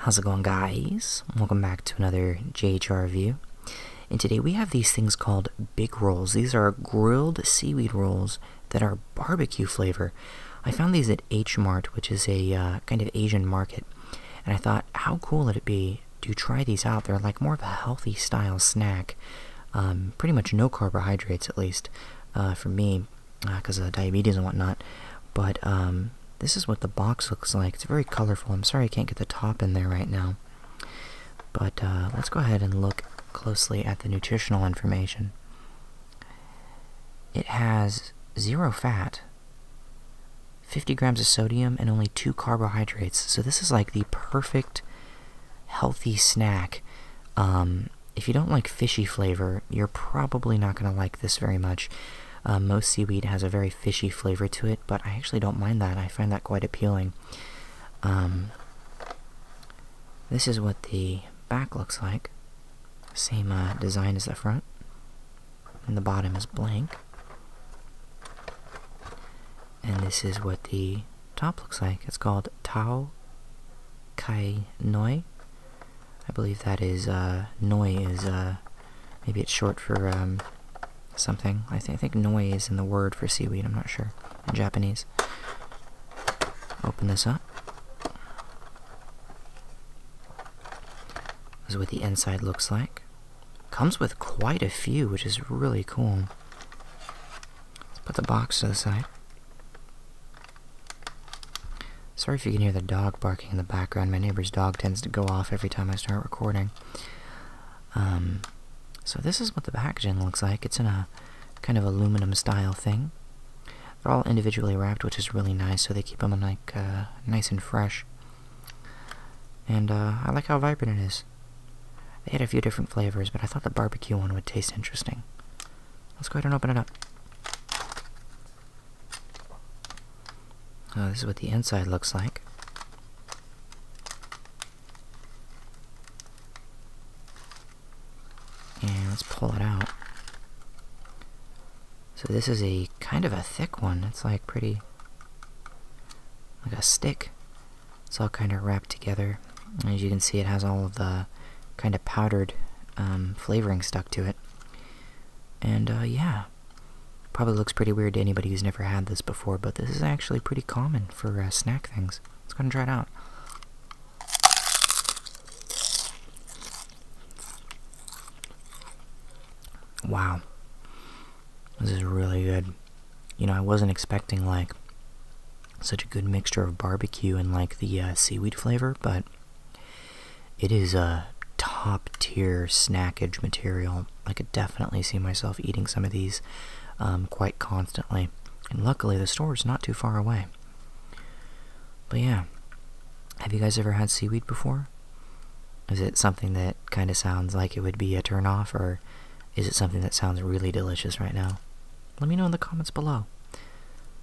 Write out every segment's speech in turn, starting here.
How's it going guys? Welcome back to another JHR review. And today we have these things called big rolls. These are grilled seaweed rolls that are barbecue flavor. I found these at H Mart, which is a uh, kind of Asian market. And I thought, how cool would it be to try these out? They're like more of a healthy style snack. Um, pretty much no carbohydrates, at least, uh, for me because uh, of diabetes and whatnot. But um, this is what the box looks like. It's very colorful. I'm sorry I can't get the top in there right now. But uh, let's go ahead and look closely at the nutritional information. It has zero fat, 50 grams of sodium, and only two carbohydrates. So this is like the perfect healthy snack um, if you don't like fishy flavor, you're probably not going to like this very much. Uh, most seaweed has a very fishy flavor to it, but I actually don't mind that. I find that quite appealing. Um, this is what the back looks like. Same uh, design as the front. And the bottom is blank. And this is what the top looks like. It's called tau Kai Noi I believe that is, uh, is, uh, maybe it's short for, um, something. I, think Noi is in the word for seaweed, I'm not sure, in Japanese. Open this up. This is what the inside looks like. Comes with quite a few, which is really cool. Let's put the box to the side. Sorry if you can hear the dog barking in the background. My neighbor's dog tends to go off every time I start recording. Um, so this is what the packaging looks like. It's in a kind of aluminum style thing. They're all individually wrapped, which is really nice, so they keep them like uh, nice and fresh. And uh, I like how vibrant it is. They had a few different flavors, but I thought the barbecue one would taste interesting. Let's go ahead and open it up. Oh, this is what the inside looks like. And let's pull it out. So this is a kind of a thick one. It's like pretty, like a stick. It's all kind of wrapped together. as you can see, it has all of the kind of powdered um, flavoring stuck to it. And uh, yeah, probably looks pretty weird to anybody who's never had this before, but this is actually pretty common for uh, snack things. Let's go and try it out. Wow. This is really good. You know, I wasn't expecting like such a good mixture of barbecue and like the uh, seaweed flavor, but it is a top tier snackage material. I could definitely see myself eating some of these um, quite constantly. And luckily, the store is not too far away. But yeah, have you guys ever had seaweed before? Is it something that kind of sounds like it would be a turnoff, or is it something that sounds really delicious right now? let me know in the comments below.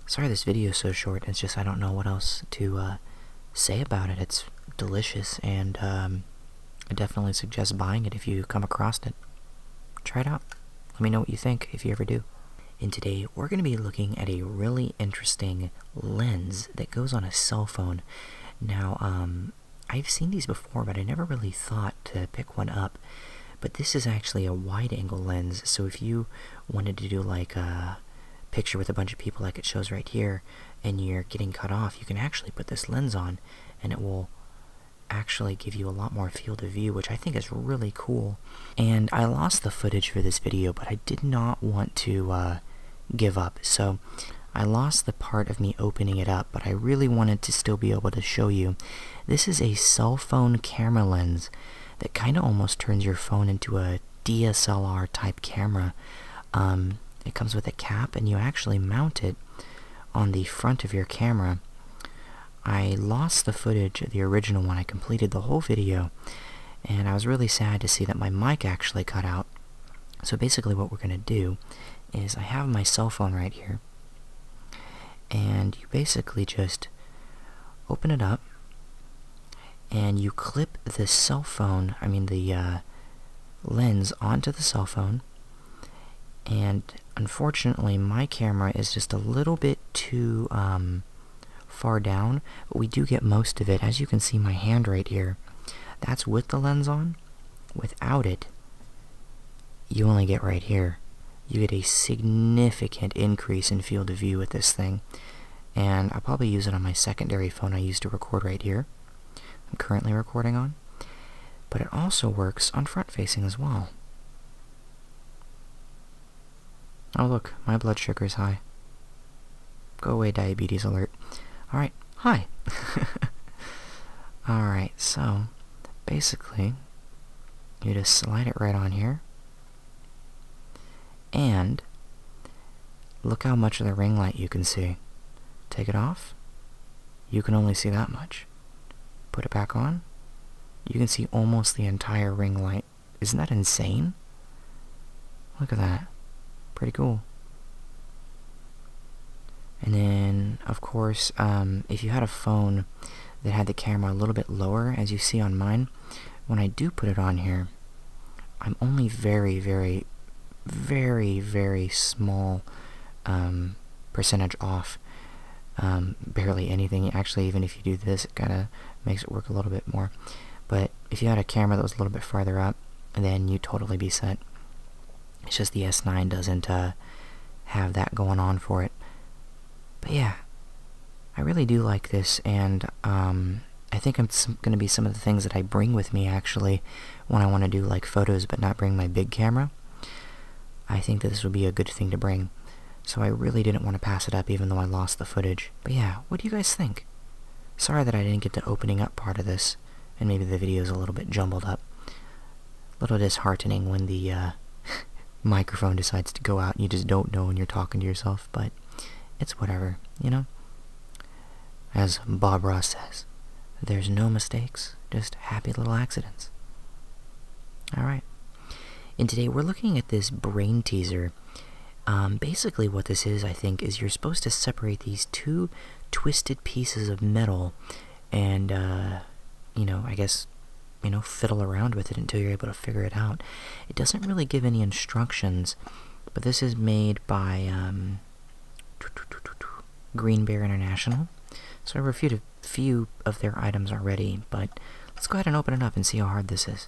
Sorry this video is so short, it's just I don't know what else to uh, say about it. It's delicious, and um, I definitely suggest buying it if you come across it. Try it out. Let me know what you think, if you ever do. And today, we're going to be looking at a really interesting lens that goes on a cell phone. Now, um, I've seen these before, but I never really thought to pick one up. But this is actually a wide angle lens, so if you wanted to do like a picture with a bunch of people like it shows right here, and you're getting cut off, you can actually put this lens on and it will actually give you a lot more field of view, which I think is really cool. And I lost the footage for this video, but I did not want to uh, give up. So I lost the part of me opening it up, but I really wanted to still be able to show you. This is a cell phone camera lens that kind of almost turns your phone into a DSLR type camera. Um, it comes with a cap, and you actually mount it on the front of your camera. I lost the footage of the original one. I completed the whole video, and I was really sad to see that my mic actually cut out. So basically what we're going to do is I have my cell phone right here, and you basically just open it up, and you clip the cell phone, I mean the uh, lens onto the cell phone. And unfortunately, my camera is just a little bit too um, far down, but we do get most of it. As you can see, my hand right here, that's with the lens on. Without it, you only get right here you get a significant increase in field of view with this thing. And i probably use it on my secondary phone I use to record right here. I'm currently recording on. But it also works on front facing as well. Oh look, my blood sugar is high. Go away diabetes alert. Alright, hi. Alright, so basically you just slide it right on here and look how much of the ring light you can see. Take it off, you can only see that much. Put it back on, you can see almost the entire ring light. Isn't that insane? Look at that. Pretty cool. And then, of course, um, if you had a phone that had the camera a little bit lower, as you see on mine, when I do put it on here, I'm only very, very, very, very small um, percentage off. Um, barely anything. Actually, even if you do this, it kind of makes it work a little bit more. But if you had a camera that was a little bit farther up, then you'd totally be set. It's just the S9 doesn't uh, have that going on for it. But yeah, I really do like this, and um, I think I'm going to be some of the things that I bring with me actually when I want to do like photos but not bring my big camera. I think that this would be a good thing to bring. So I really didn't want to pass it up even though I lost the footage. But yeah, what do you guys think? Sorry that I didn't get the opening up part of this, and maybe the video is a little bit jumbled up. A little disheartening when the uh, microphone decides to go out you just don't know when you're talking to yourself, but it's whatever, you know? As Bob Ross says, there's no mistakes, just happy little accidents. Alright. And today we're looking at this brain teaser. Um, basically, what this is, I think, is you're supposed to separate these two twisted pieces of metal and, uh, you know, I guess, you know, fiddle around with it until you're able to figure it out. It doesn't really give any instructions, but this is made by um, Green Bear International. So I've reviewed a few of their items already, but let's go ahead and open it up and see how hard this is.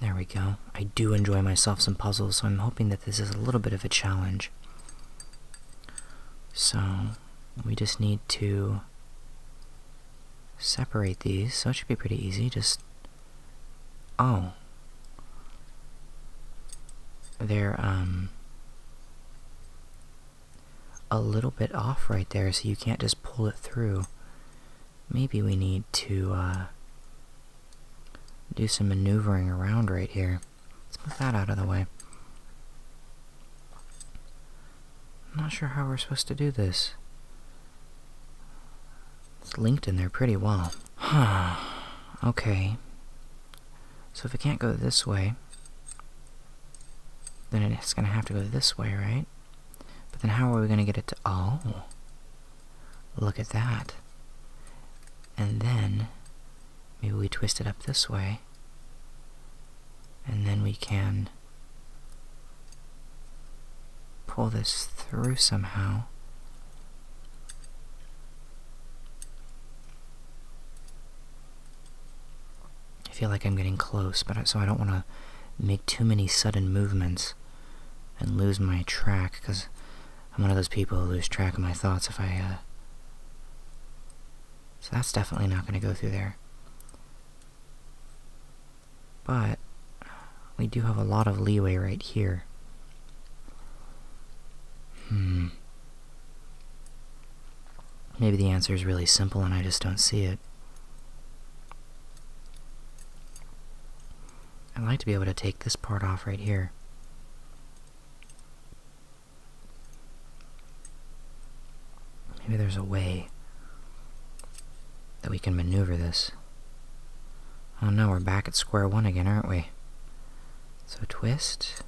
There we go. I do enjoy myself some puzzles, so I'm hoping that this is a little bit of a challenge. So, we just need to separate these, so it should be pretty easy. Just, oh. They're, um, a little bit off right there, so you can't just pull it through. Maybe we need to, uh, do some maneuvering around right here. Let's put that out of the way. I'm not sure how we're supposed to do this. It's linked in there pretty well. Huh. okay. So if it can't go this way, then it's going to have to go this way, right? But then how are we going to get it to... Oh. Look at that. And then, maybe we twist it up this way. And then we can pull this through somehow. I feel like I'm getting close, but so I don't want to make too many sudden movements and lose my track, because I'm one of those people who lose track of my thoughts if I, uh, So that's definitely not going to go through there. But we do have a lot of leeway right here. Hmm. Maybe the answer is really simple and I just don't see it. I'd like to be able to take this part off right here. Maybe there's a way that we can maneuver this. Oh no, we're back at square one again, aren't we? So twist.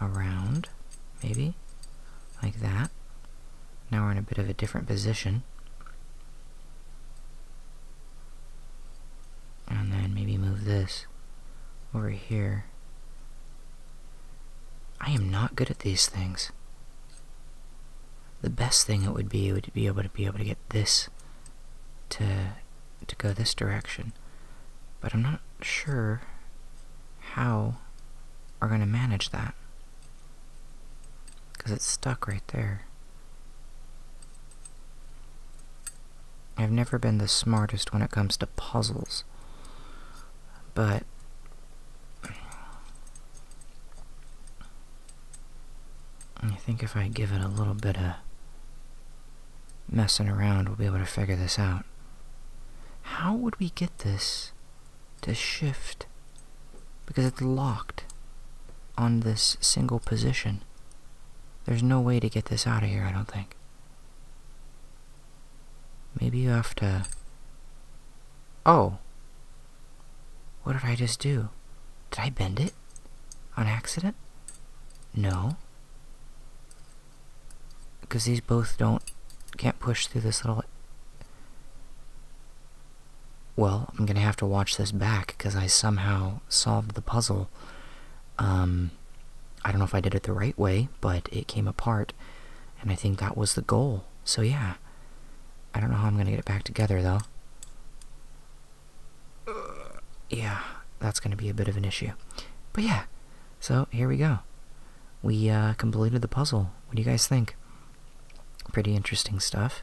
Around, maybe. Like that. Now we're in a bit of a different position. And then maybe move this over here. I am not good at these things the best thing it would be would be able to be able to get this to to go this direction. But I'm not sure how we're going to manage that. Because it's stuck right there. I've never been the smartest when it comes to puzzles but I think if I give it a little bit of messing around, we'll be able to figure this out. How would we get this to shift? Because it's locked on this single position. There's no way to get this out of here, I don't think. Maybe you have to Oh. What did I just do? Did I bend it? On accident? No. Because these both don't... Can't push through this little... Well, I'm gonna have to watch this back, because I somehow solved the puzzle. Um... I don't know if I did it the right way, but it came apart. And I think that was the goal. So yeah. I don't know how I'm gonna get it back together though. yeah, that's gonna be a bit of an issue. But yeah, so here we go. We uh, completed the puzzle. What do you guys think? Pretty interesting stuff.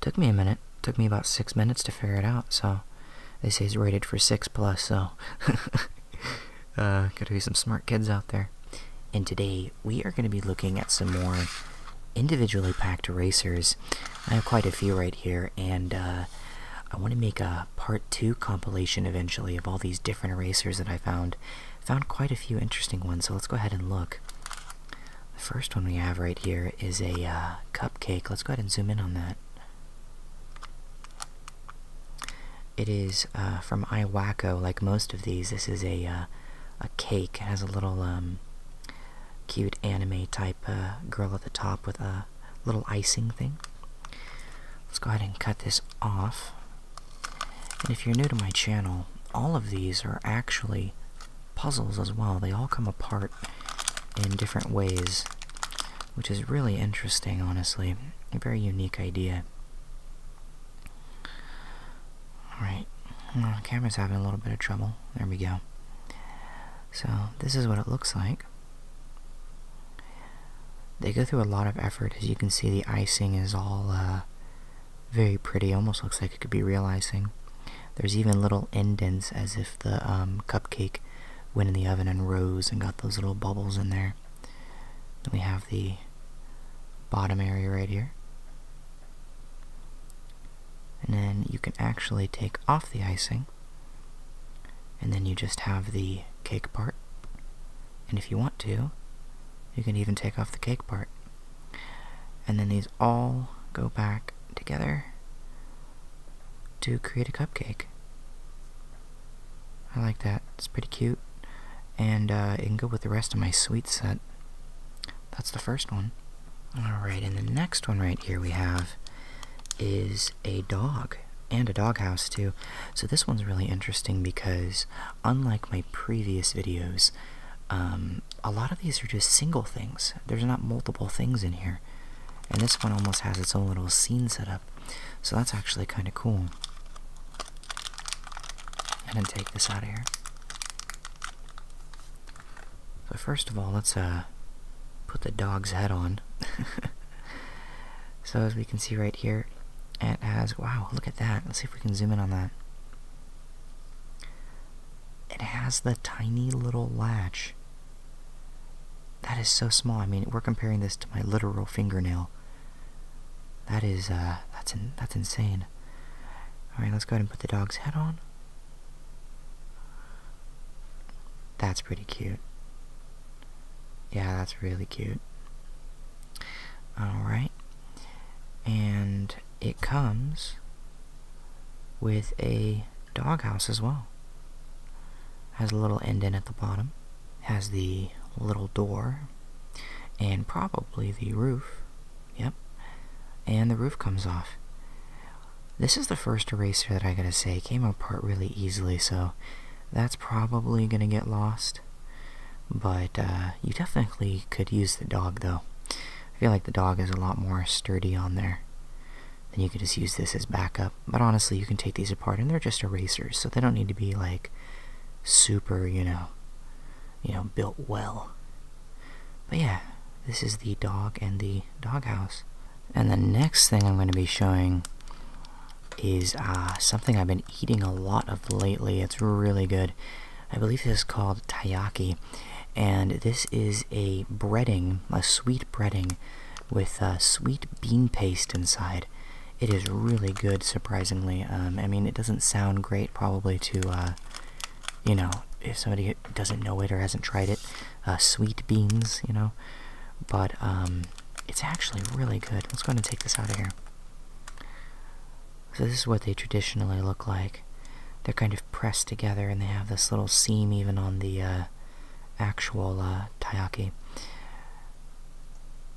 Took me a minute. Took me about six minutes to figure it out. So they say it's rated for six plus. So uh, gotta be some smart kids out there. And today we are going to be looking at some more individually packed erasers. I have quite a few right here, and uh, I want to make a part two compilation eventually of all these different erasers that I found. Found quite a few interesting ones, so let's go ahead and look. The first one we have right here is a uh, cupcake. Let's go ahead and zoom in on that. It is uh, from iWacko, like most of these. This is a a cake. has a little um, cute anime type uh, girl at the top with a little icing thing. Let's go ahead and cut this off. And if you're new to my channel, all of these are actually puzzles as well. They all come apart in different ways, which is really interesting, honestly. A very unique idea. Alright, the camera's having a little bit of trouble. There we go. So, this is what it looks like. They go through a lot of effort. As you can see, the icing is all uh, very pretty. Almost looks like it could be real icing. There's even little indents as if the um, cupcake went in the oven and rose and got those little bubbles in there. we have the bottom area right here. And then you can actually take off the icing, and then you just have the cake part. And if you want to, you can even take off the cake part. And then these all go back together to create a cupcake. I like that, it's pretty cute and uh, it can go with the rest of my sweet set. That's the first one. Alright, and the next one right here we have is a dog, and a doghouse too. So this one's really interesting because, unlike my previous videos, um, a lot of these are just single things. There's not multiple things in here. And this one almost has its own little scene set up. So that's actually kind of cool and then take this out of here. So first of all, let's uh put the dog's head on. so as we can see right here, it has wow, look at that. Let's see if we can zoom in on that. It has the tiny little latch. That is so small. I mean, we're comparing this to my literal fingernail. That is, uh, that's, that's insane. Alright, let's go ahead and put the dog's head on. That's pretty cute. Yeah, that's really cute. Alright. And it comes with a doghouse as well. Has a little end in at the bottom. Has the little door. And probably the roof Yep. And the roof comes off. This is the first eraser that I gotta say came apart really easily, so that's probably gonna get lost. But uh, you definitely could use the dog though. I feel like the dog is a lot more sturdy on there. Then you can just use this as backup. But honestly, you can take these apart and they're just erasers, so they don't need to be like super, you know, you know, built well. But yeah, this is the dog and the doghouse. And the next thing I'm going to be showing is uh, something I've been eating a lot of lately. It's really good. I believe it is called taiyaki. And this is a breading, a sweet breading with uh, sweet bean paste inside. It is really good, surprisingly. Um, I mean, it doesn't sound great probably to uh, you know, if somebody doesn't know it or hasn't tried it, uh, sweet beans, you know. But um, it's actually really good. Let's go and take this out of here. So this is what they traditionally look like. They're kind of pressed together, and they have this little seam even on the uh, actual uh, taiyaki.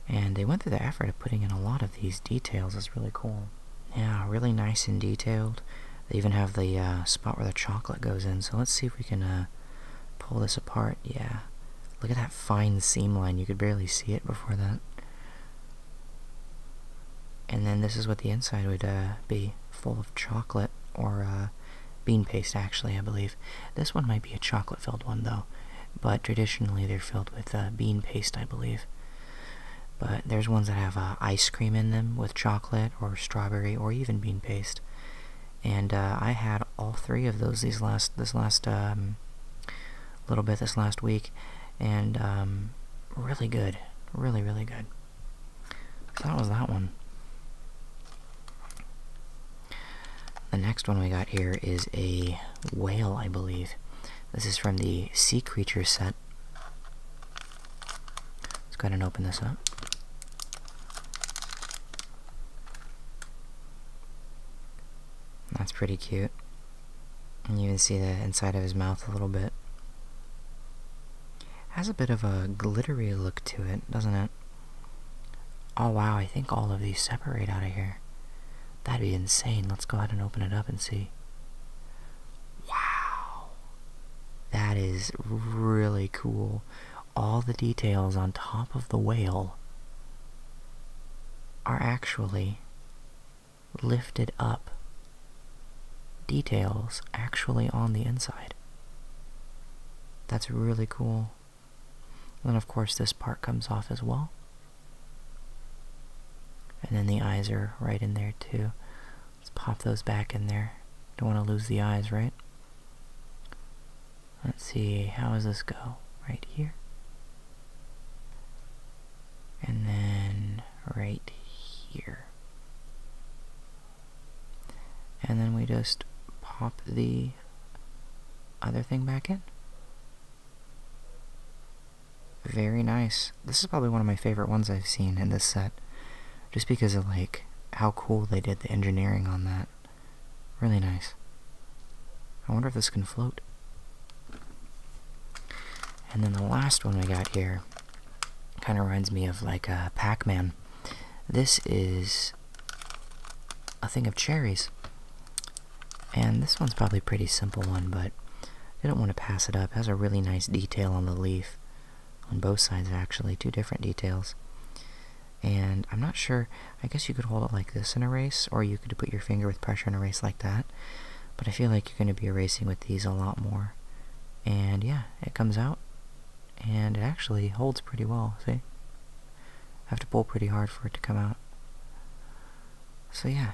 And they went through the effort of putting in a lot of these details. It's really cool yeah, really nice and detailed. They even have the uh, spot where the chocolate goes in. So let's see if we can uh, pull this apart. Yeah, look at that fine seam line. You could barely see it before that. And then this is what the inside would uh, be, full of chocolate or bean paste, actually, I believe. This one might be a chocolate-filled one, though, but traditionally they're filled with bean paste, I believe. But there's ones that have uh, ice cream in them with chocolate or strawberry or even bean paste. And uh, I had all three of those these last this last um, little bit this last week, and um, really good, really really good. that was that one. The next one we got here is a whale, I believe. This is from the sea creature set, Let's go ahead and open this up. That's pretty cute. And you can see the inside of his mouth a little bit. Has a bit of a glittery look to it, doesn't it? Oh wow, I think all of these separate out of here. That'd be insane. Let's go ahead and open it up and see. Wow. That is really cool. All the details on top of the whale are actually lifted up. Details actually on the inside. That's really cool. And of course, this part comes off as well. And then the eyes are right in there too. Let's pop those back in there. Don't want to lose the eyes, right? Let's see, how does this go? Right here. And then right here. And then we just pop the other thing back in. Very nice. This is probably one of my favorite ones I've seen in this set. Just because of like how cool they did the engineering on that. Really nice. I wonder if this can float. And then the last one we got here kind of reminds me of like a uh, Pac-Man. This is a thing of cherries. And this one's probably a pretty simple one, but I didn't want to pass it up. has a really nice detail on the leaf. On both sides, actually. Two different details. And I'm not sure. I guess you could hold it like this and erase, or you could put your finger with pressure and erase like that. But I feel like you're going to be erasing with these a lot more. And yeah, it comes out. And it actually holds pretty well, see? have to pull pretty hard for it to come out. So yeah.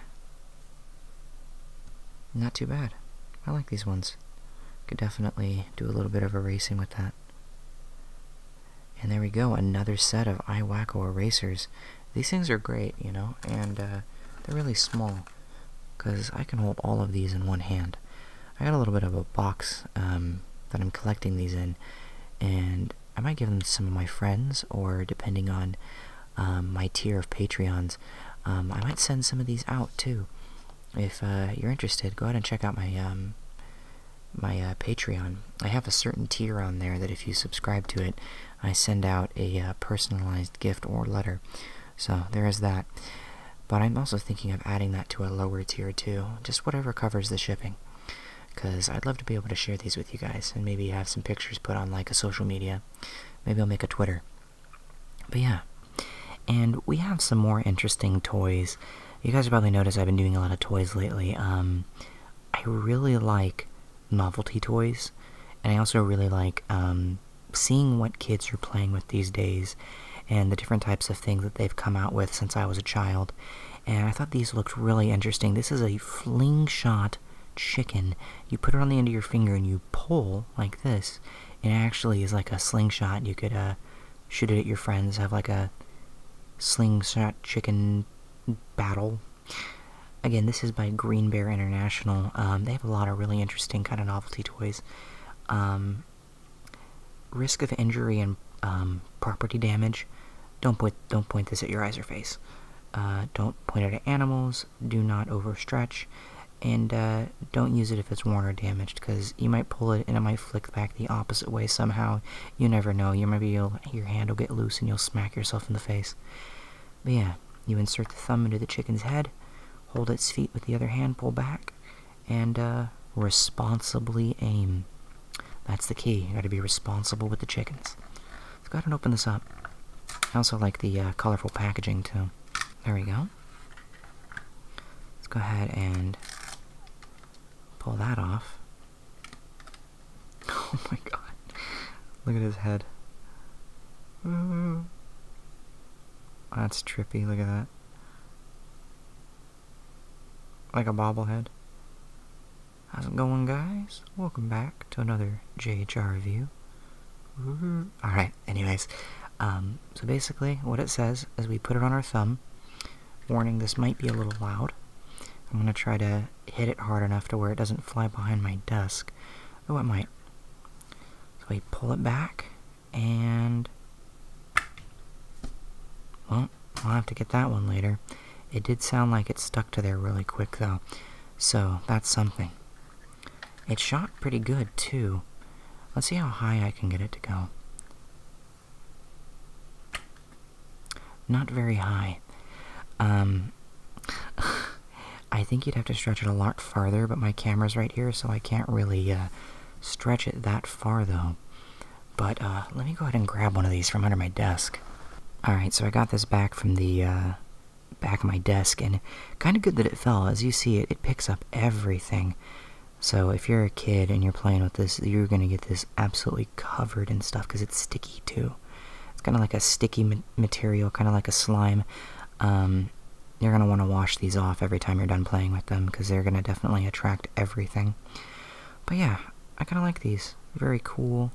Not too bad. I like these ones. Could definitely do a little bit of erasing with that. And there we go, another set of iWacko erasers. These things are great, you know, and uh, they're really small. Because I can hold all of these in one hand. I got a little bit of a box um, that I'm collecting these in. And I might give them some of my friends, or depending on um, my tier of Patreons. Um, I might send some of these out too. If uh, you're interested, go ahead and check out my um, my uh, Patreon. I have a certain tier on there that if you subscribe to it, I send out a uh, personalized gift or letter. So there is that. But I'm also thinking of adding that to a lower tier too, just whatever covers the shipping. Because I'd love to be able to share these with you guys and maybe have some pictures put on like a social media. Maybe I'll make a Twitter. But yeah, and we have some more interesting toys. You guys have probably noticed I've been doing a lot of toys lately. Um, I really like novelty toys, and I also really like um, seeing what kids are playing with these days and the different types of things that they've come out with since I was a child. And I thought these looked really interesting. This is a fling shot chicken. You put it on the end of your finger and you pull like this. It actually is like a slingshot. You could uh, shoot it at your friends, have like a slingshot chicken battle. Again, this is by Green Bear International. Um, they have a lot of really interesting kind of novelty toys. Um, risk of injury and um, property damage. Don't point, don't point this at your eyes or face. Uh, don't point it at animals do not overstretch, and uh, don't use it if it's worn or damaged because you might pull it and it might flick back the opposite way somehow. You never know. You maybe you your hand will get loose and you'll smack yourself in the face. But yeah, you insert the thumb into the chicken's head, hold its feet with the other hand, pull back, and uh, responsibly aim. That's the key. You got to be responsible with the chickens. go ahead and open this up. I also like the uh, colorful packaging too. There we go. Let's go ahead and pull that off. Oh my god. Look at his head. that's trippy. Look at that. Like a bobblehead. How's it going, guys? Welcome back to another JHR review. Mm-hmm. Alright, anyways. Um, so basically, what it says is we put it on our thumb. Warning, this might be a little loud. I'm going to try to hit it hard enough to where it doesn't fly behind my desk. Oh, it might. So we pull it back, and... Well, I'll have to get that one later. It did sound like it stuck to there really quick, though. So, that's something. It shot pretty good, too. Let's see how high I can get it to go. Not very high. Um, I think you'd have to stretch it a lot farther, but my camera's right here, so I can't really uh, stretch it that far, though. But uh, let me go ahead and grab one of these from under my desk. Alright, so I got this back from the uh, back of my desk, and kind of good that it fell. As you see it, it picks up everything. So if you're a kid and you're playing with this, you're gonna get this absolutely covered and stuff because it's sticky too. It's kind of like a sticky material, kind of like a slime. Um, you're gonna want to wash these off every time you're done playing with them because they're gonna definitely attract everything. But yeah, I kind of like these. Very cool.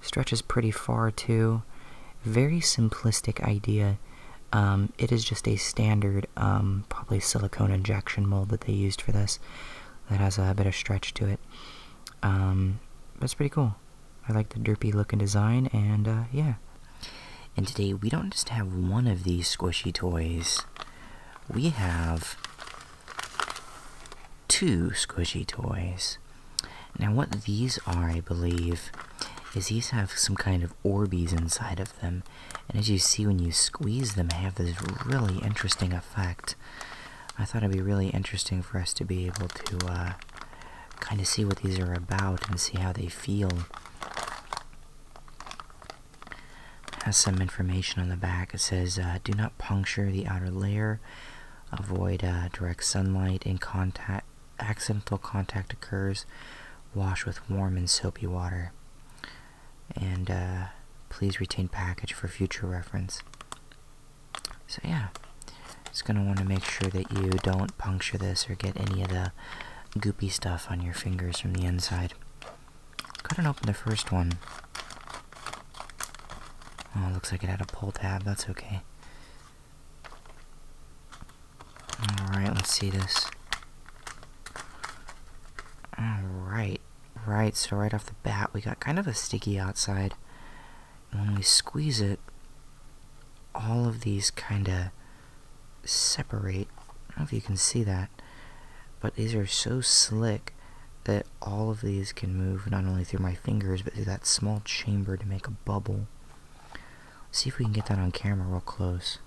Stretches pretty far too. Very simplistic idea. Um, it is just a standard, um, probably silicone injection mold that they used for this that has a bit of stretch to it. Um, That's pretty cool. I like the derpy looking design, and uh, yeah. And today we don't just have one of these squishy toys, we have two squishy toys. Now, what these are, I believe, is these have some kind of Orbeez inside of them, and as you see when you squeeze them, they have this really interesting effect. I thought it'd be really interesting for us to be able to uh, kind of see what these are about and see how they feel. has some information on the back. It says, uh, do not puncture the outer layer, avoid uh, direct sunlight in contact accidental contact occurs, wash with warm and soapy water. And uh, please retain package for future reference. So yeah, just gonna want to make sure that you don't puncture this or get any of the goopy stuff on your fingers from the inside. Cut and open the first one. Oh, looks like it had a pull tab. That's okay. Alright, let's see this. Alright, right, so right off the bat we got kind of a sticky outside. when we squeeze it, all of these kind of separate. I don't know if you can see that, but these are so slick that all of these can move not only through my fingers but through that small chamber to make a bubble see if we can get that on camera real close.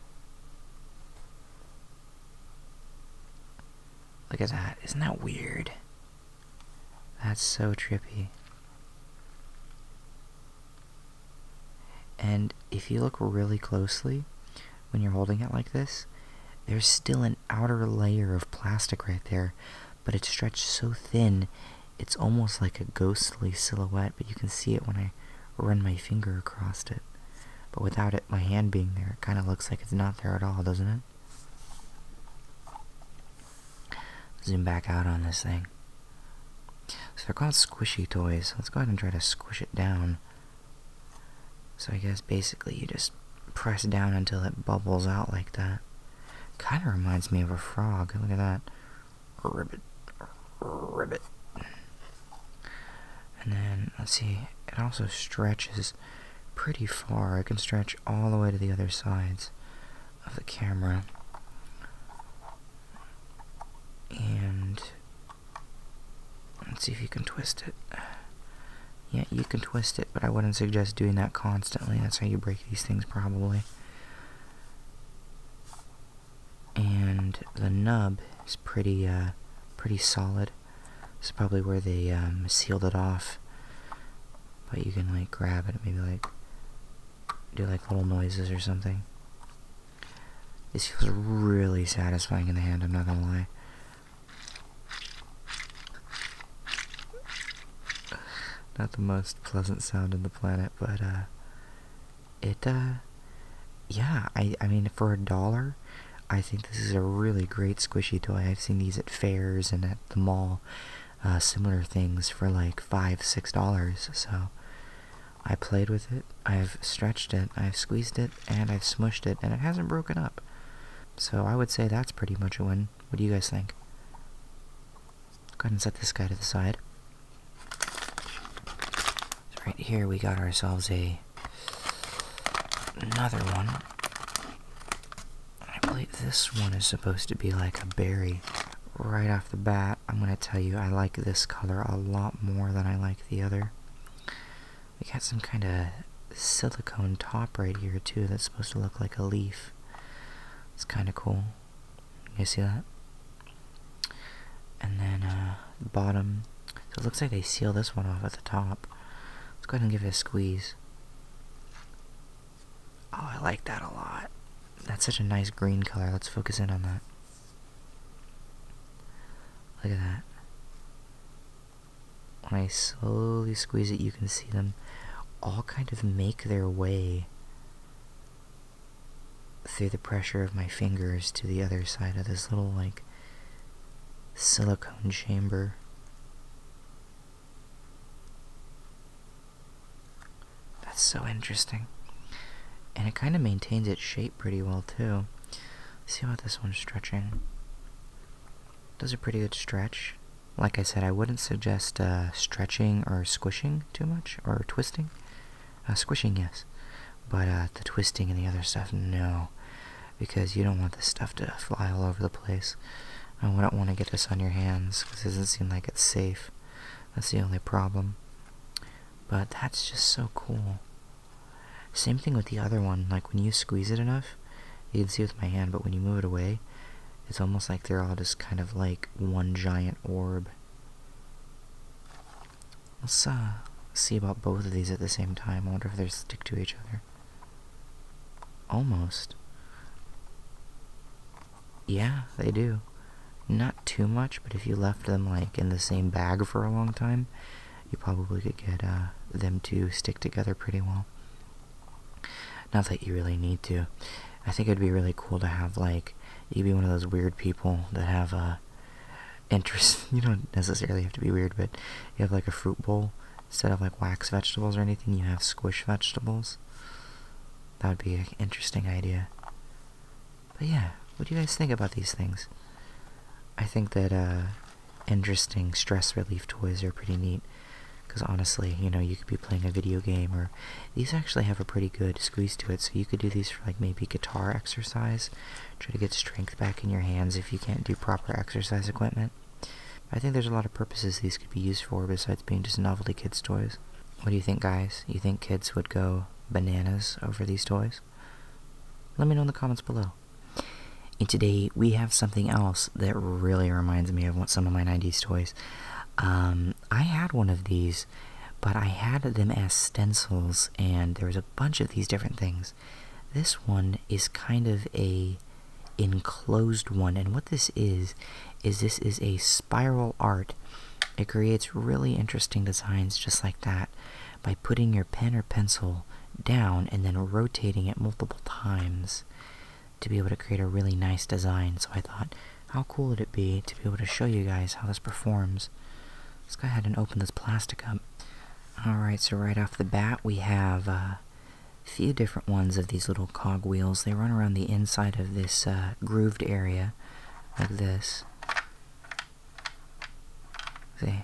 Look at that. Isn't that weird? That's so trippy. And if you look really closely, when you're holding it like this, there's still an outer layer of plastic right there, but it's stretched so thin it's almost like a ghostly silhouette, but you can see it when I run my finger across it. But without it, my hand being there, it kind of looks like it's not there at all, doesn't it? Zoom back out on this thing. So they're called squishy toys. let's go ahead and try to squish it down. So I guess basically you just press down until it bubbles out like that. Kind of reminds me of a frog. Look at that ribbit, ribbit. And then, let's see, it also stretches pretty far. I can stretch all the way to the other sides of the camera. And let's see if you can twist it. Yeah, you can twist it, but I wouldn't suggest doing that constantly. That's how you break these things, probably and the nub is pretty uh, pretty solid. It's probably where they um, sealed it off, but you can like grab it, maybe like do like little noises or something. This feels really satisfying in the hand. I'm not gonna lie. Not the most pleasant sound in the planet, but uh, it uh yeah i i mean for a dollar i think this is a really great squishy toy i've seen these at fairs and at the mall uh similar things for like five six dollars so i played with it i've stretched it i've squeezed it and i've smushed it and it hasn't broken up so i would say that's pretty much a win what do you guys think Go ahead and set this guy to the side. right here we got ourselves a another one. I believe this one is supposed to be like a berry. Right off the bat, I'm going to tell you I like this color a lot more than I like the other. We got some kind of silicone top right here too that's supposed to look like a leaf. It's kind of cool. You guys see that? And then the uh, bottom. So it looks like they seal this one off at the top. Let's go ahead and give it a squeeze. Oh, I like that a lot. That's such a nice green color. Let's focus in on that. Look at that. When I slowly squeeze it, you can see them all kind of make their way through the pressure of my fingers to the other side of this little like silicone chamber. That's so interesting. And it kind of maintains its shape pretty well too. see how this one's stretching. Does a pretty good stretch. Like I said, I wouldn't suggest uh, stretching or squishing too much or twisting. Uh, squishing, yes. But uh, the twisting and the other stuff, no. Because you don't want the stuff to fly all over the place. I wouldn't want to get this on your hands because it doesn't seem like it's safe. That's the only problem. But that's just so cool. Same thing with the other one. Like when you squeeze it enough, you can see with my hand, but when you move it away, it's almost like they're all just kind of like one giant orb. Let's uh, see about both of these at the same time. wonder if they stick to each other. Almost. Yeah, they do. Not too much, but if you left them like in the same bag for a long time, you probably could get uh, them to stick together pretty well. Not that you really need to. I think it'd be really cool to have like you would be one of those weird people that have uh, interest. You don't necessarily have to be weird, but you have like a fruit bowl instead of like wax vegetables or anything. You have squish vegetables. That would be an interesting idea. But yeah, what do you guys think about these things? I think that uh, interesting stress relief toys are pretty neat. Because honestly, you know, you could be playing a video game or these actually have a pretty good squeeze to it, so you could do these for like maybe guitar exercise. Try to get strength back in your hands if you can't do proper exercise equipment. I think there's a lot of purposes these could be used for besides being just novelty kids' toys. What do you think, guys? You think kids would go bananas over these toys? Let me know in the comments below. And today we have something else that really reminds me of some of my 90s toys. Um, I had one of these but I had them as stencils, and there was a bunch of these different things. This one is kind of a enclosed one, and what this is, is this is a spiral art. It creates really interesting designs just like that by putting your pen or pencil down and then rotating it multiple times to be able to create a really nice design. So I thought how cool would it be to be able to show you guys how this performs? Let's go ahead and open this plastic up. Alright, so right off the bat we have uh, a few different ones of these little cog wheels. They run around the inside of this uh, grooved area, like this. See?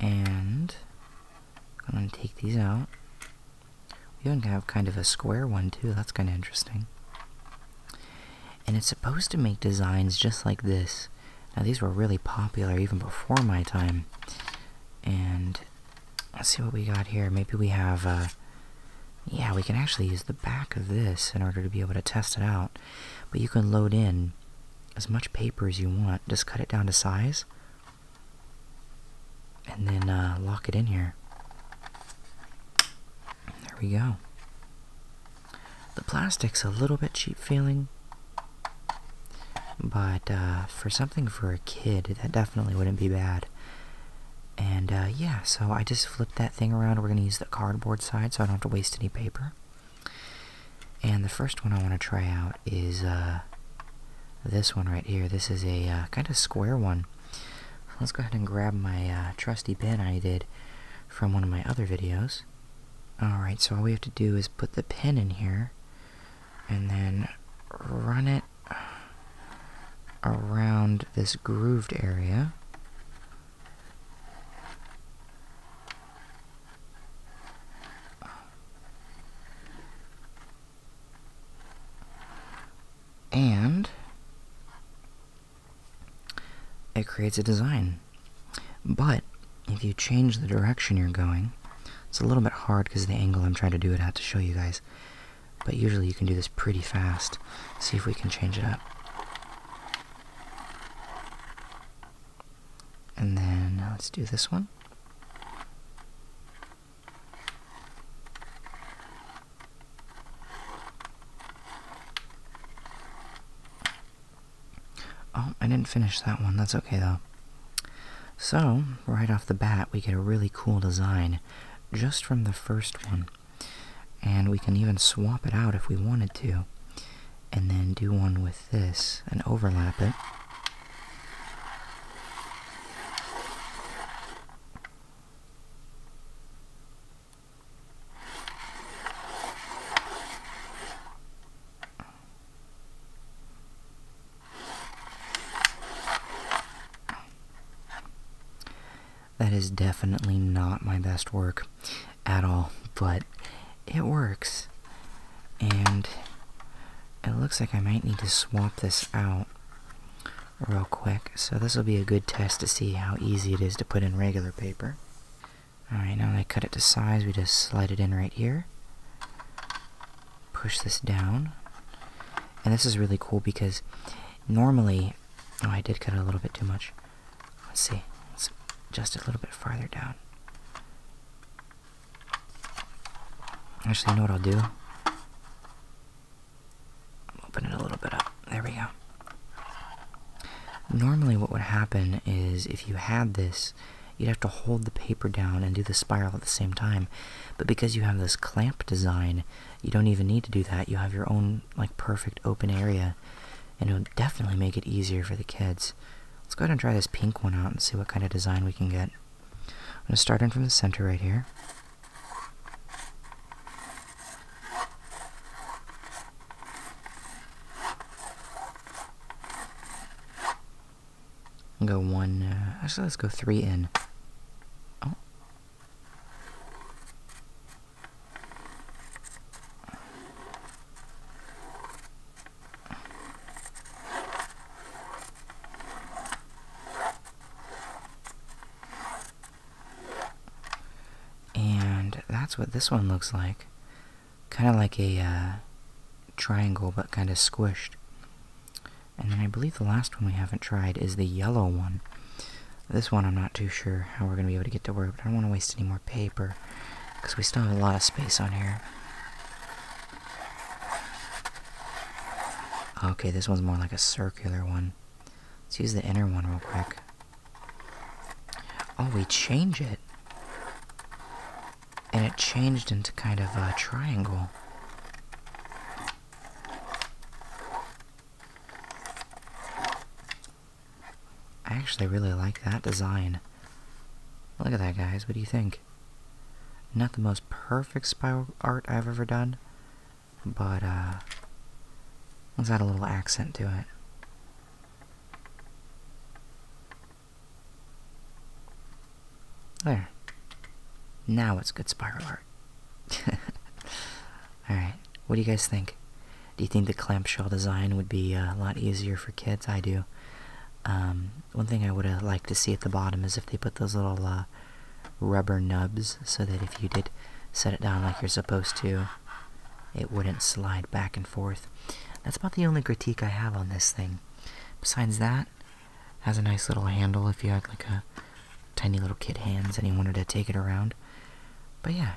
And I'm going to take these out. We even have kind of a square one too, that's kind of interesting and it's supposed to make designs just like this. Now these were really popular even before my time. And let's see what we got here. Maybe we have, uh, yeah, we can actually use the back of this in order to be able to test it out. But you can load in as much paper as you want. Just cut it down to size. And then uh, lock it in here. There we go. The plastic's a little bit cheap feeling, but uh, for something for a kid, that definitely wouldn't be bad. And uh, yeah, so I just flipped that thing around. We're going to use the cardboard side so I don't have to waste any paper. And the first one I want to try out is uh, this one right here. This is a kind of square one. Let's go ahead and grab my trusty pen I did from one of my other videos. Alright, so all we have to do is put the pin in here and then run it around this grooved area. And it creates a design. But if you change the direction you're going, it's a little bit hard because the angle I'm trying to do it at to show you guys. But usually you can do this pretty fast. See if we can change it up. And then uh, let's do this one. Oh, I didn't finish that one. That's okay, though. So, right off the bat, we get a really cool design just from the first one. And we can even swap it out if we wanted to. And then do one with this and overlap it. That is definitely not my best work at all, but it works. And it looks like I might need to swap this out real quick. So this will be a good test to see how easy it is to put in regular paper. Alright, now that I cut it to size, we just slide it in right here. Push this down. And this is really cool because normally... Oh, I did cut a little bit too much. Let's see. Let's adjust a little bit farther down. Actually, you know what I'll do? open it a little bit up. There we go. Normally, what would happen is if you had this, you'd have to hold the paper down and do the spiral at the same time. But because you have this clamp design, you don't even need to do that. You have your own like perfect open area, and it'll definitely make it easier for the kids. Let's go ahead and try this pink one out and see what kind of design we can get. I'm gonna start in from the center right here. I'll go one, uh, actually let's go three in. Oh. And that's what this one looks like. Kind of like a uh, triangle, but kind of squished. And then I believe the last one we haven't tried is the yellow one. This one I'm not too sure how we're going to be able to get to work, but I don't want to waste any more paper. Because we still have a lot of space on here. Okay, this one's more like a circular one. Let's use the inner one real quick. Oh, we change it. And it changed into kind of a triangle. I actually really like that design. Look at that, guys. What do you think? Not the most perfect spiral art I've ever done, but, uh, let's add a little accent to it. There. Now it's good spiral art. Alright, what do you guys think? Do you think the clamshell design would be a lot easier for kids? I do. Um, one thing I would have uh, liked to see at the bottom is if they put those little uh, rubber nubs so that if you did set it down like you're supposed to, it wouldn't slide back and forth. That's about the only critique I have on this thing. Besides that, has a nice little handle if you had like a tiny little kid hands and you wanted to take it around. But yeah.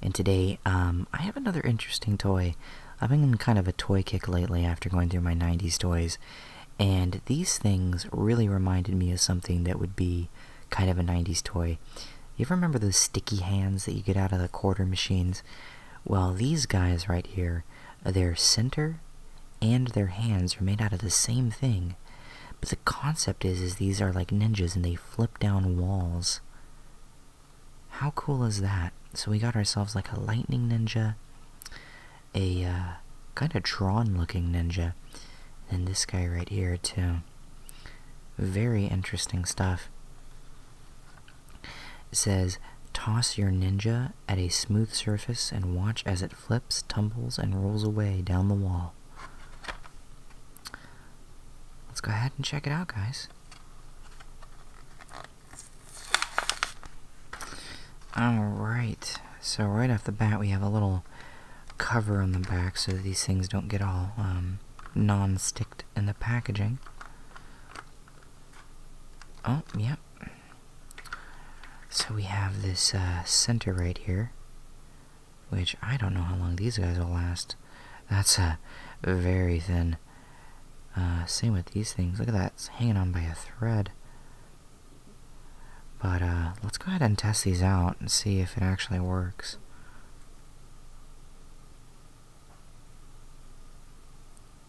And today, um, I have another interesting toy. I've been in kind of a toy kick lately after going through my 90s toys. And these things really reminded me of something that would be kind of a 90s toy. You ever remember those sticky hands that you get out of the quarter machines? Well, these guys right here, their center and their hands are made out of the same thing. But the concept is, is these are like ninjas and they flip down walls. How cool is that? So we got ourselves like a lightning ninja, a uh, kind of drawn looking ninja, and this guy right here too. Very interesting stuff. says, toss your ninja at a smooth surface and watch as it flips, tumbles, and rolls away down the wall. Let's go ahead and check it out, guys. Alright, so right off the bat we have a little cover on the back so these things don't get all um, non-sticked product and the packaging. Oh, yep. So we have this uh, center right here, which I don't know how long these guys will last. That's a uh, very thin. Uh, same with these things. Look at that, it's hanging on by a thread. But let's go ahead and test these out and see if it actually works.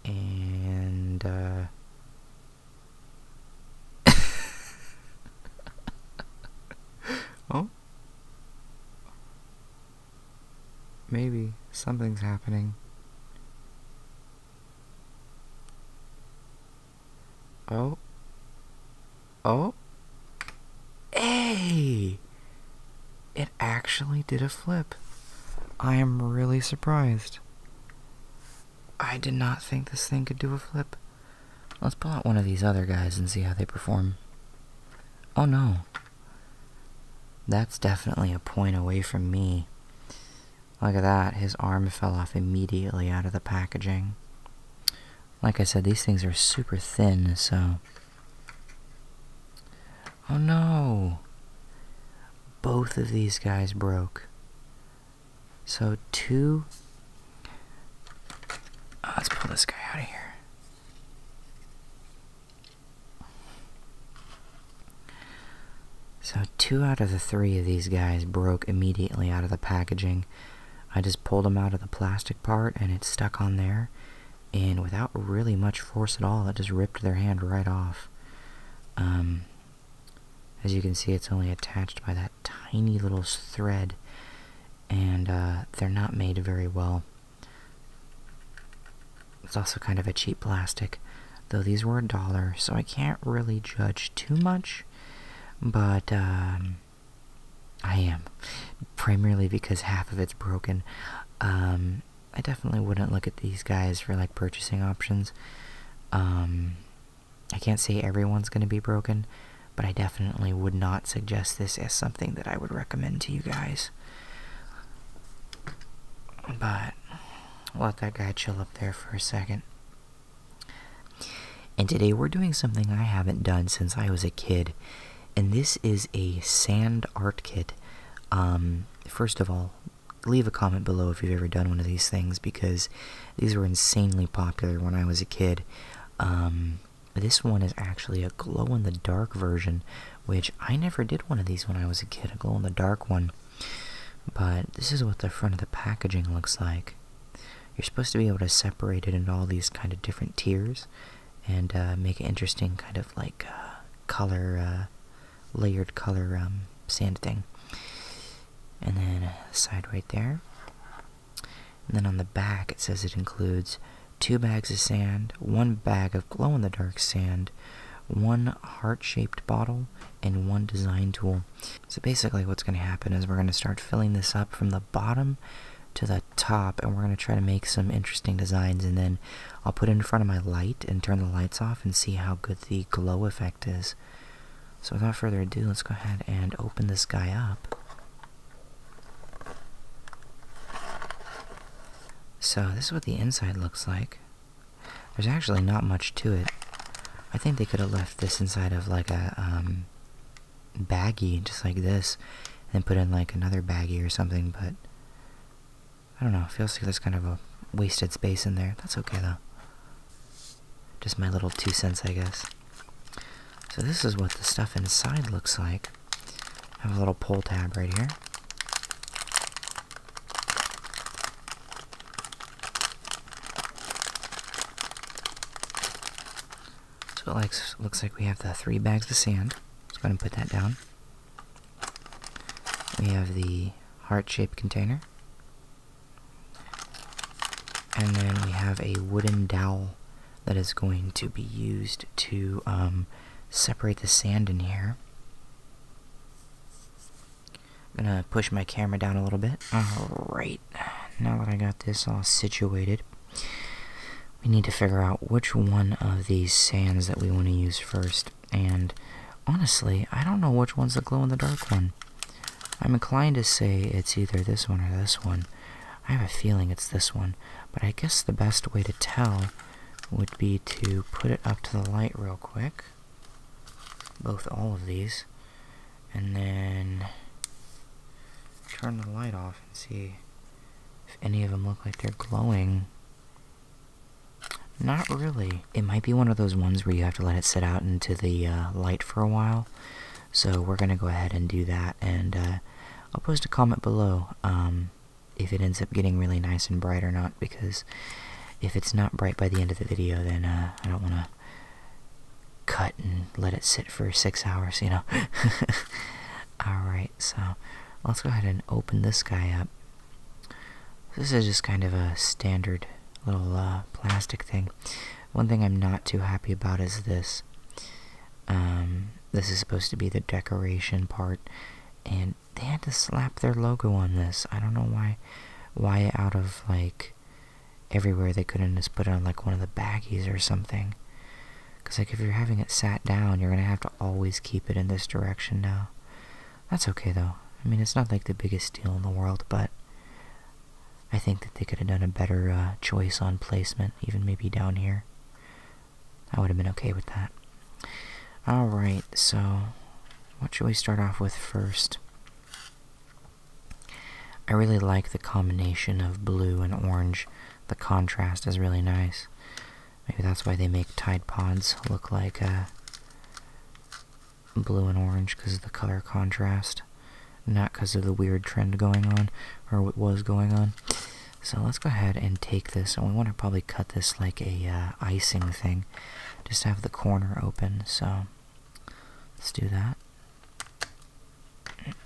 And, uh, oh? Maybe something's happening. Oh? Oh? Hey! It actually did a flip. I am really surprised. I did not think this thing could do a flip. Let's pull out one of these other guys and see how they perform. Oh no. That's definitely a point away from me. Look at that, his arm fell off immediately out of the packaging. Like I said, these things are super thin, so Oh no! Both of these guys broke. So two. Oh, let's pull this guy out of here. So two out of the three of these guys broke immediately out of the packaging. I just pulled them out of the plastic part and it's stuck on there and without really much force at all, it just ripped their hand right off. Um, as you can see, it's only attached by that tiny little thread, and uh, they're not made very well. It's also kind of a cheap plastic, though these were a dollar, so I can't really judge too much, but um, I am primarily because half of it's broken. Um, I definitely wouldn't look at these guys for like purchasing options. Um, I can't say everyone's going to be broken, but I definitely would not suggest this as something that I would recommend to you guys. But let that guy chill up there for a second. And today we're doing something I haven't done since I was a kid and this is a sand art kit. Um, first of all, leave a comment below if you've ever done one of these things because these were insanely popular when I was a kid. Um, this one is actually a glow in the dark version, which I never did one of these when I was a kid, a glow in the dark one. But this is what the front of the packaging looks like. You're supposed to be able to separate it into all these kind of different tiers and uh, make an interesting kind of like uh, color, uh, layered color um, sand thing. And then uh, side right there. And then on the back it says it includes two bags of sand, one bag of glow-in-the-dark sand, one heart-shaped bottle, and one design tool. So basically what's going to happen is we're going to start filling this up from the bottom to the top and we're going to try to make some interesting designs and then I'll put it in front of my light and turn the lights off and see how good the glow effect is. So without further ado, let's go ahead and open this guy up. So this is what the inside looks like. There's actually not much to it. I think they could have left this inside of like a um, baggy, just like this and put in like another baggy or something, but I don't know, it feels like there's kind of a wasted space in there. That's okay though. Just my little two cents, I guess. So this is what the stuff inside looks like. I have a little pull tab right here. So it likes, looks like we have the three bags of sand. Let's go ahead and put that down. We have the heart-shaped container. And then we have a wooden dowel that is going to be used to um, separate the sand in here. I'm gonna push my camera down a little bit. Alright, now that I got this all situated, we need to figure out which one of these sands that we want to use first. And honestly, I don't know which one's the glow in the dark one. I'm inclined to say it's either this one or this one. I have a feeling it's this one, but I guess the best way to tell would be to put it up to the light real quick. Both all of these. And then turn the light off and see if any of them look like they're glowing. Not really. It might be one of those ones where you have to let it sit out into the uh, light for a while. So we're going to go ahead and do that. And uh, I'll post a comment below um, if it ends up getting really nice and bright or not. Because if it's not bright by the end of the video, then uh, I don't want to cut and let it sit for six hours, you know. Alright so let's go ahead and open this guy up. This is just kind of a standard little uh, plastic thing. One thing I'm not too happy about is this. Um, this is supposed to be the decoration part, and they had to slap their logo on this. I don't know why, why out of like everywhere they couldn't just put it on like one of the baggies or something. Because, like, if you're having it sat down, you're going to have to always keep it in this direction now. That's okay, though. I mean, it's not, like, the biggest deal in the world, but I think that they could have done a better uh, choice on placement, even maybe down here. I would have been okay with that. Alright, so what should we start off with first? I really like the combination of blue and orange. The contrast is really nice. Maybe that's why they make Tide Pods look like uh, blue and orange because of the color contrast, not because of the weird trend going on, or what was going on. So let's go ahead and take this, and we want to probably cut this like a uh, icing thing, just have the corner open, so let's do that.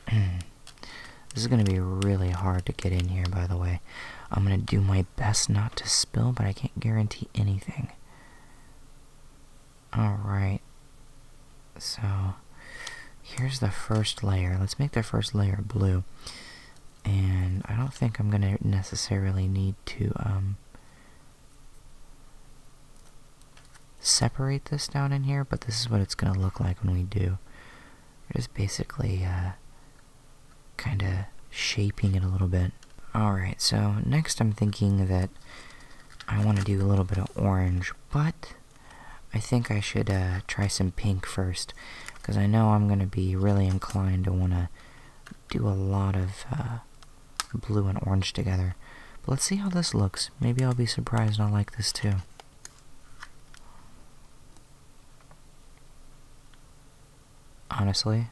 This is going to be really hard to get in here, by the way. I'm going to do my best not to spill, but I can't guarantee anything. Alright. So, here's the first layer. Let's make the first layer blue. And I don't think I'm going to necessarily need to um, separate this down in here, but this is what it's going to look like when we do. just basically... Uh, kind of shaping it a little bit. Alright, so next I'm thinking that I want to do a little bit of orange, but I think I should uh, try some pink first, because I know I'm going to be really inclined to want to do a lot of uh, blue and orange together. But let's see how this looks. Maybe I'll be surprised and I'll like this too. Honestly,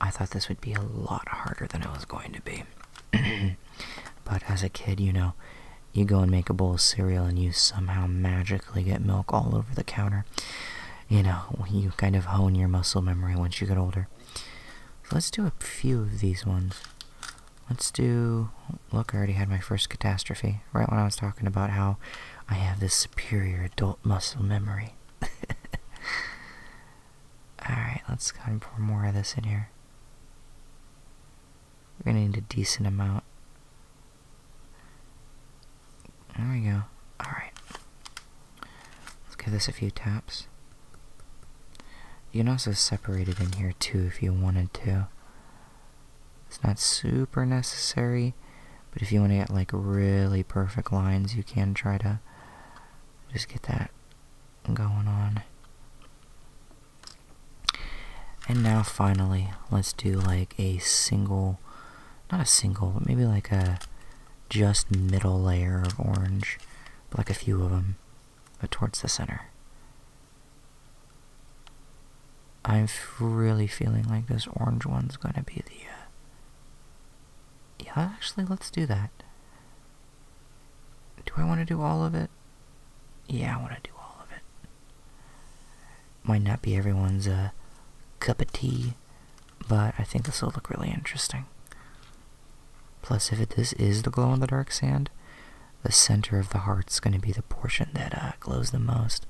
I thought this would be a lot harder than it was going to be. but as a kid, you know, you go and make a bowl of cereal and you somehow magically get milk all over the counter. You know, you kind of hone your muscle memory once you get older. let's do a few of these ones. Let's do. Look, I already had my first catastrophe right when I was talking about how I have this superior adult muscle memory. Alright, let's go and pour more of this in here. We're gonna need a decent amount. There we go. Alright. Let's give this a few taps. You can also separate it in here too if you wanted to. It's not super necessary, but if you want to get like really perfect lines, you can try to just get that going on. And now finally, let's do like a single, not a single, but maybe like a just middle layer of orange, but like a few of them, but towards the center. I'm really feeling like this orange one's gonna be the, uh, yeah, actually, let's do that. Do I want to do all of it? Yeah, I want to do all of it. Might not be everyone's, uh, cup of tea, but I think this will look really interesting. Plus, if it, this is the glow-in-the-dark sand, the center of the heart's going to be the portion that uh, glows the most.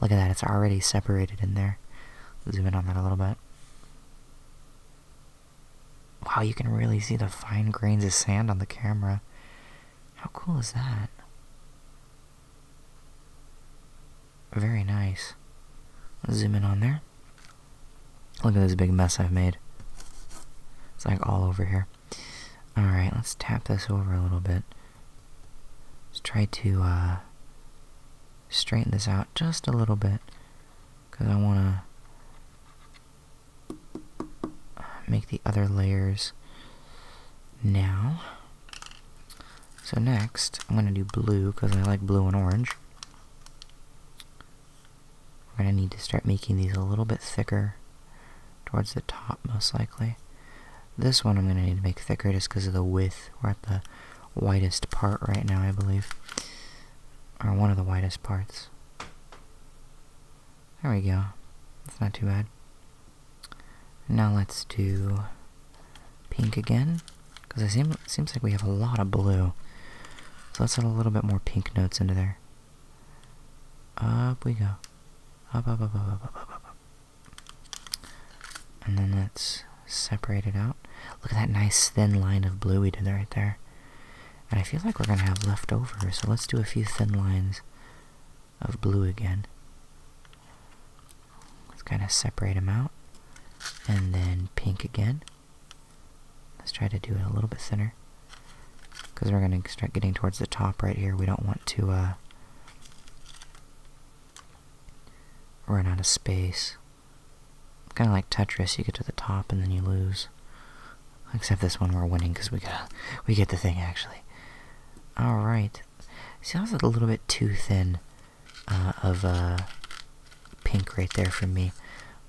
Look at that, it's already separated in there. Zoom in on that a little bit. Wow, you can really see the fine grains of sand on the camera. How cool is that? Very nice. zoom in on there. Look at this big mess I've made. It's like all over here. Alright, let's tap this over a little bit. Let's try to uh, straighten this out just a little bit because I want to make the other layers now. So next, I'm going to do blue because I like blue and orange. I'm going to need to start making these a little bit thicker towards the top most likely. This one I'm going to need to make thicker just because of the width. We're at the widest part right now, I believe. Or one of the widest parts. There we go. It's not too bad. Now let's do pink again. Because it, seem, seems like we have a lot of blue. So let's add a little bit more pink notes into there. Up we go. And then let's separate it out. Look at that nice thin line of blue we did right there. And I feel like we're going to have left over, so let's do a few thin lines of blue again. Let's kind of separate them out. And then pink again. Let's try to do it a little bit thinner. Because we're going to start getting towards the top right here. We don't want to, uh, run out of space. Kind of like Tetris, you get to the top and then you lose. Except this one we're winning because we got we get the thing actually. All right. See, that was a little bit too thin uh, of a uh, pink right there for me,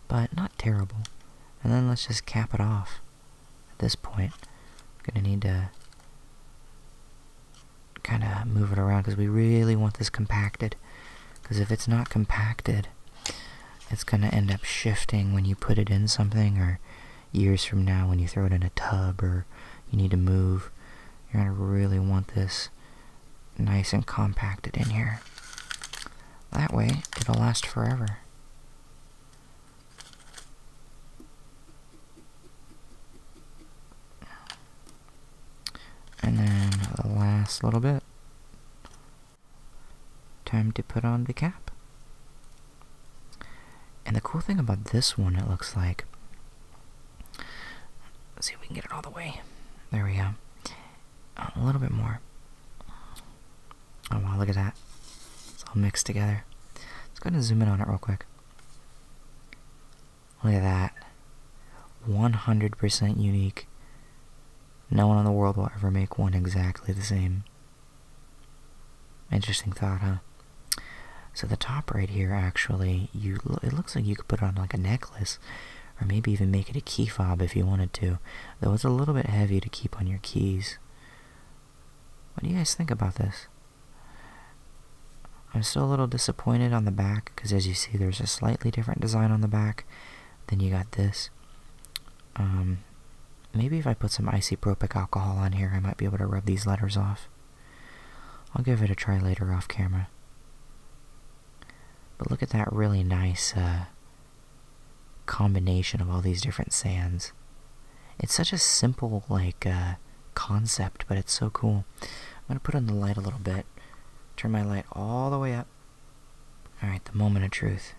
but not terrible. And then let's just cap it off. At this point, I'm gonna need to kind of move it around because we really want this compacted. Because if it's not compacted, it's going to end up shifting when you put it in something or years from now when you throw it in a tub or you need to move. You're going to really want this nice and compacted in here. That way, it'll last forever. And then the last little bit. Time to put on the cap. And the cool thing about this one, it looks like. Let's see if we can get it all the way. There we go. a little bit more. Oh wow, look at that. It's all mixed together. Let's go ahead and zoom in on it real quick. Look at that. 100% unique. No one in the world will ever make one exactly the same. Interesting thought, huh? So the top right here, actually, you it looks like you could put it on like a necklace, or maybe even make it a key fob if you wanted to, though it's a little bit heavy to keep on your keys. What do you guys think about this? I'm still a little disappointed on the back because, as you see, there's a slightly different design on the back. Then you got this. Um, maybe if I put some isopropyl alcohol on here, I might be able to rub these letters off. I'll give it a try later off camera. But look at that really nice uh, combination of all these different sands. It's such a simple, like, uh, concept, but it's so cool. I'm going to put on the light a little bit. Turn my light all the way up. Alright, the moment of truth.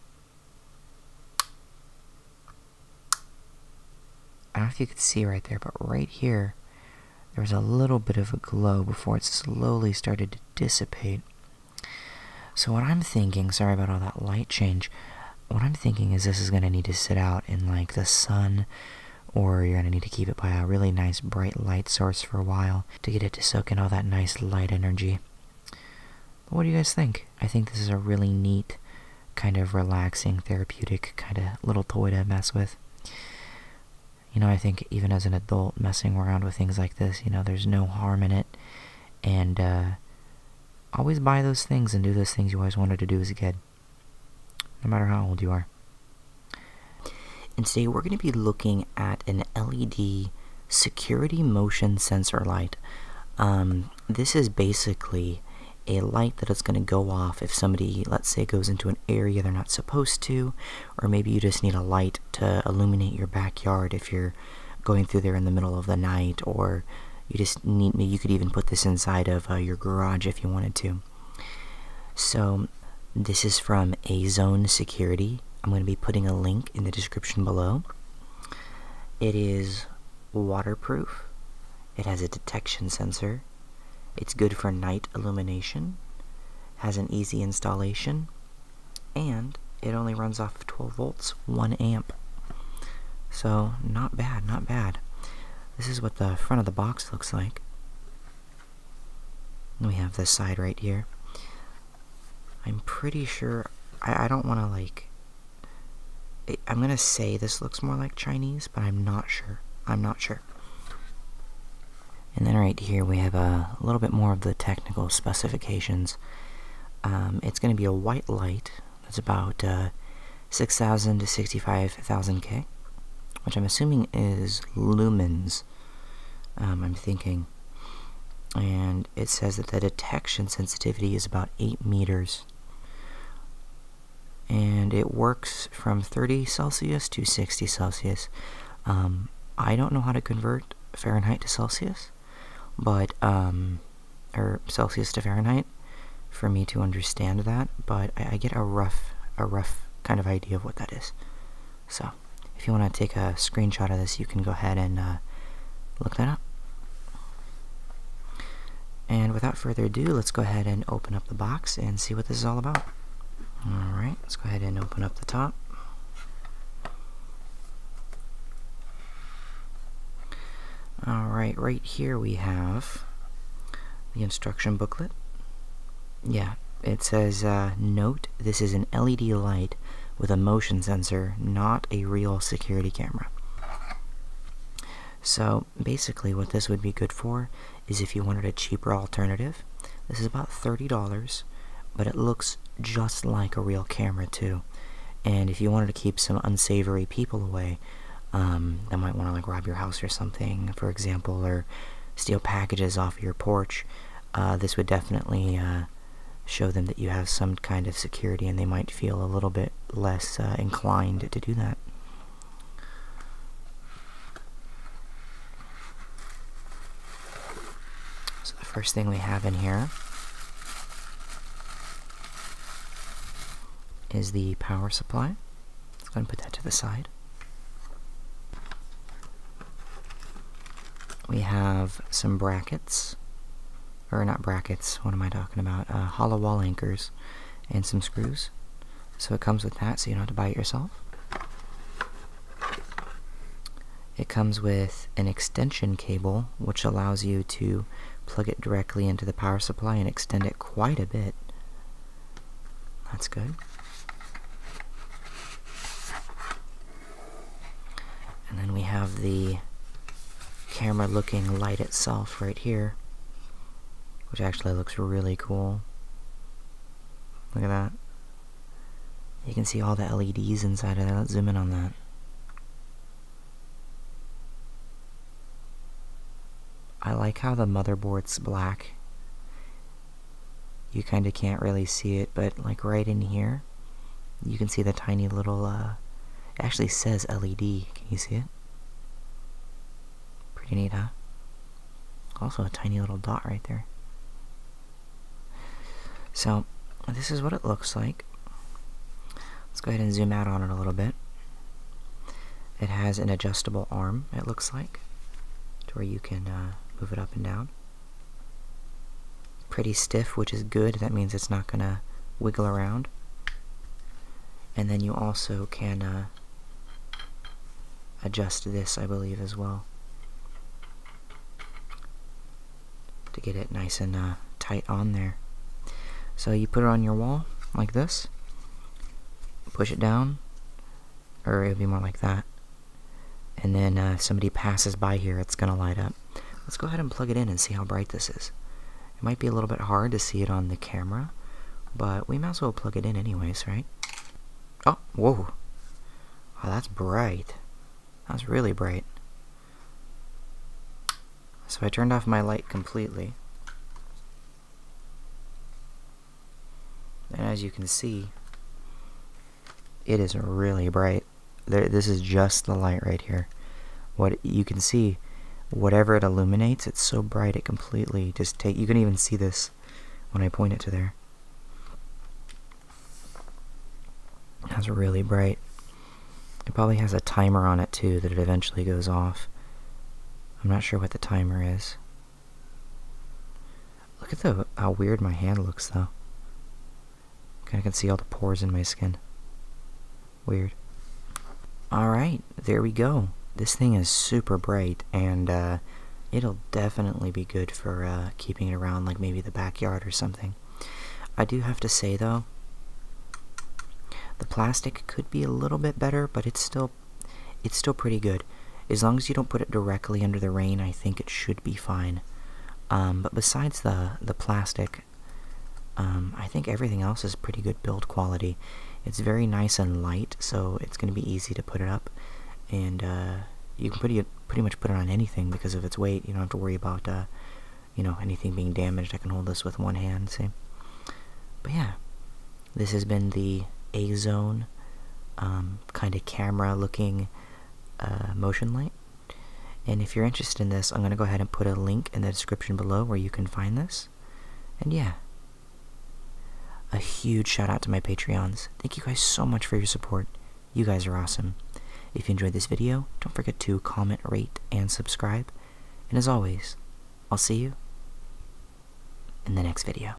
I don't know if you could see right there, but right here, there was a little bit of a glow before it slowly started to dissipate. So what I'm thinking, sorry about all that light change, what I'm thinking is this is going to need to sit out in like the sun or you're going to need to keep it by a really nice bright light source for a while to get it to soak in all that nice light energy. what do you guys think? I think this is a really neat, kind of relaxing, therapeutic kind of little toy to mess with. You know, I think even as an adult messing around with things like this, you know, there's no harm in it. And uh, always buy those things and do those things you always wanted to do as a kid no matter how old you are. And today we're going to be looking at an LED security motion sensor light. Um, this is basically a light that is going to go off if somebody, let's say, goes into an area they're not supposed to, or maybe you just need a light to illuminate your backyard if you're going through there in the middle of the night, or you just need You could even put this inside of uh, your garage if you wanted to. So, this is from A Zone Security. I'm going to be putting a link in the description below. It is waterproof, it has a detection sensor, it's good for night illumination, has an easy installation, and it only runs off 12 volts, 1 amp. So, not bad, not bad. This is what the front of the box looks like. We have this side right here. I'm pretty sure, I, don't want to like, I'm going to say this looks more like Chinese, but I'm not sure. I'm not sure. And then right here we have a, little bit more of the technical specifications. Um, it's going to be a white light that's about uh, 6,000 to 65,000 K which I'm assuming is lumens, um, I'm thinking. And it says that the detection sensitivity is about 8 meters. And it works from 30 Celsius to 60 Celsius. Um, I don't know how to convert Fahrenheit to Celsius, but, um, or Celsius to Fahrenheit, for me to understand that, but I, I get a rough, a rough kind of idea of what that is. So, if you want to take a screenshot of this, you can go ahead and uh, look that up. And without further ado, let's go ahead and open up the box and see what this is all about. Alright, let's go ahead and open up the top. Alright, right here we have the instruction booklet yeah, it says, uh, note this is an LED light with a motion sensor, not a real security camera. So basically what this would be good for is if you wanted a cheaper alternative. This is about $30, but it looks just like a real camera too. And if you wanted to keep some unsavory people away, um, that might want to like rob your house or something, for example, or steal packages off your porch, uh, this would definitely uh, show them that you have some kind of security and they might feel a little bit less uh, inclined to do that. So the first thing we have in here is the power supply. Let's go and put that to the side. We have some brackets, or not brackets, what am I talking about? Uh, hollow wall anchors and some screws. So it comes with that, so you don't have to buy it yourself. It comes with an extension cable, which allows you to plug it directly into the power supply and extend it quite a bit. That's good. And then we have the camera looking light itself right here, which actually looks really cool. Look at that. You can see all the LEDs inside of that. Let's zoom in on that. I like how the motherboard's black you kind of can't really see it, but like right in here, you can see the tiny little, uh, it actually says LED. Can you see it? Pretty neat, huh? Also a tiny little dot right there. So, this is what it looks like. Let's go ahead and zoom out on it a little bit. It has an adjustable arm, it looks like, where you can uh, move it up and down. Pretty stiff, which is good. That means it's not going to wiggle around. And then you also can uh, adjust this, I believe, as well. To get it nice and uh, tight on there. So you put it on your wall, like this. Push it down, or it'll be more like that. And then uh, if somebody passes by here, it's going to light up. Let's go ahead and plug it in and see how bright this is. It might be a little bit hard to see it on the camera, but we might as well plug it in anyways, right? Oh, whoa. that's bright. That's really bright. So I turned off my light completely. And as you can see, it is really bright. this is just the light right here. What you can see, whatever it illuminates, it's so bright it completely just take. You can even see this when I point it to there. That's really bright. It probably has a timer on it too that it eventually goes off. I'm not sure what the timer is. Look at the how weird my hand looks, though. I can see all the pores in my skin. Weird. Alright, there we go. This thing is super bright, and uh, it'll definitely be good for uh, keeping it around, like maybe the backyard or something. I do have to say, though, the plastic could be a little bit better, but it's still it's still pretty good. As long as you don't put it directly under the rain, I think it should be fine. Um, but besides the, the plastic, um, I think everything else is pretty good build quality. It's very nice and light, so it's going to be easy to put it up. And uh, you can pretty, pretty much put it on anything because of its weight. You don't have to worry about uh, you know anything being damaged. I can hold this with one hand, see? But yeah, this has been the A Zone um, kind of camera looking uh, motion light. And if you're interested in this, I'm going to go ahead and put a link in the description below where you can find this. And yeah, a huge shout out to my Patreons. Thank you guys so much for your support. You guys are awesome. If you enjoyed this video, don't forget to comment, rate, and subscribe. And as always, I'll see you in the next video.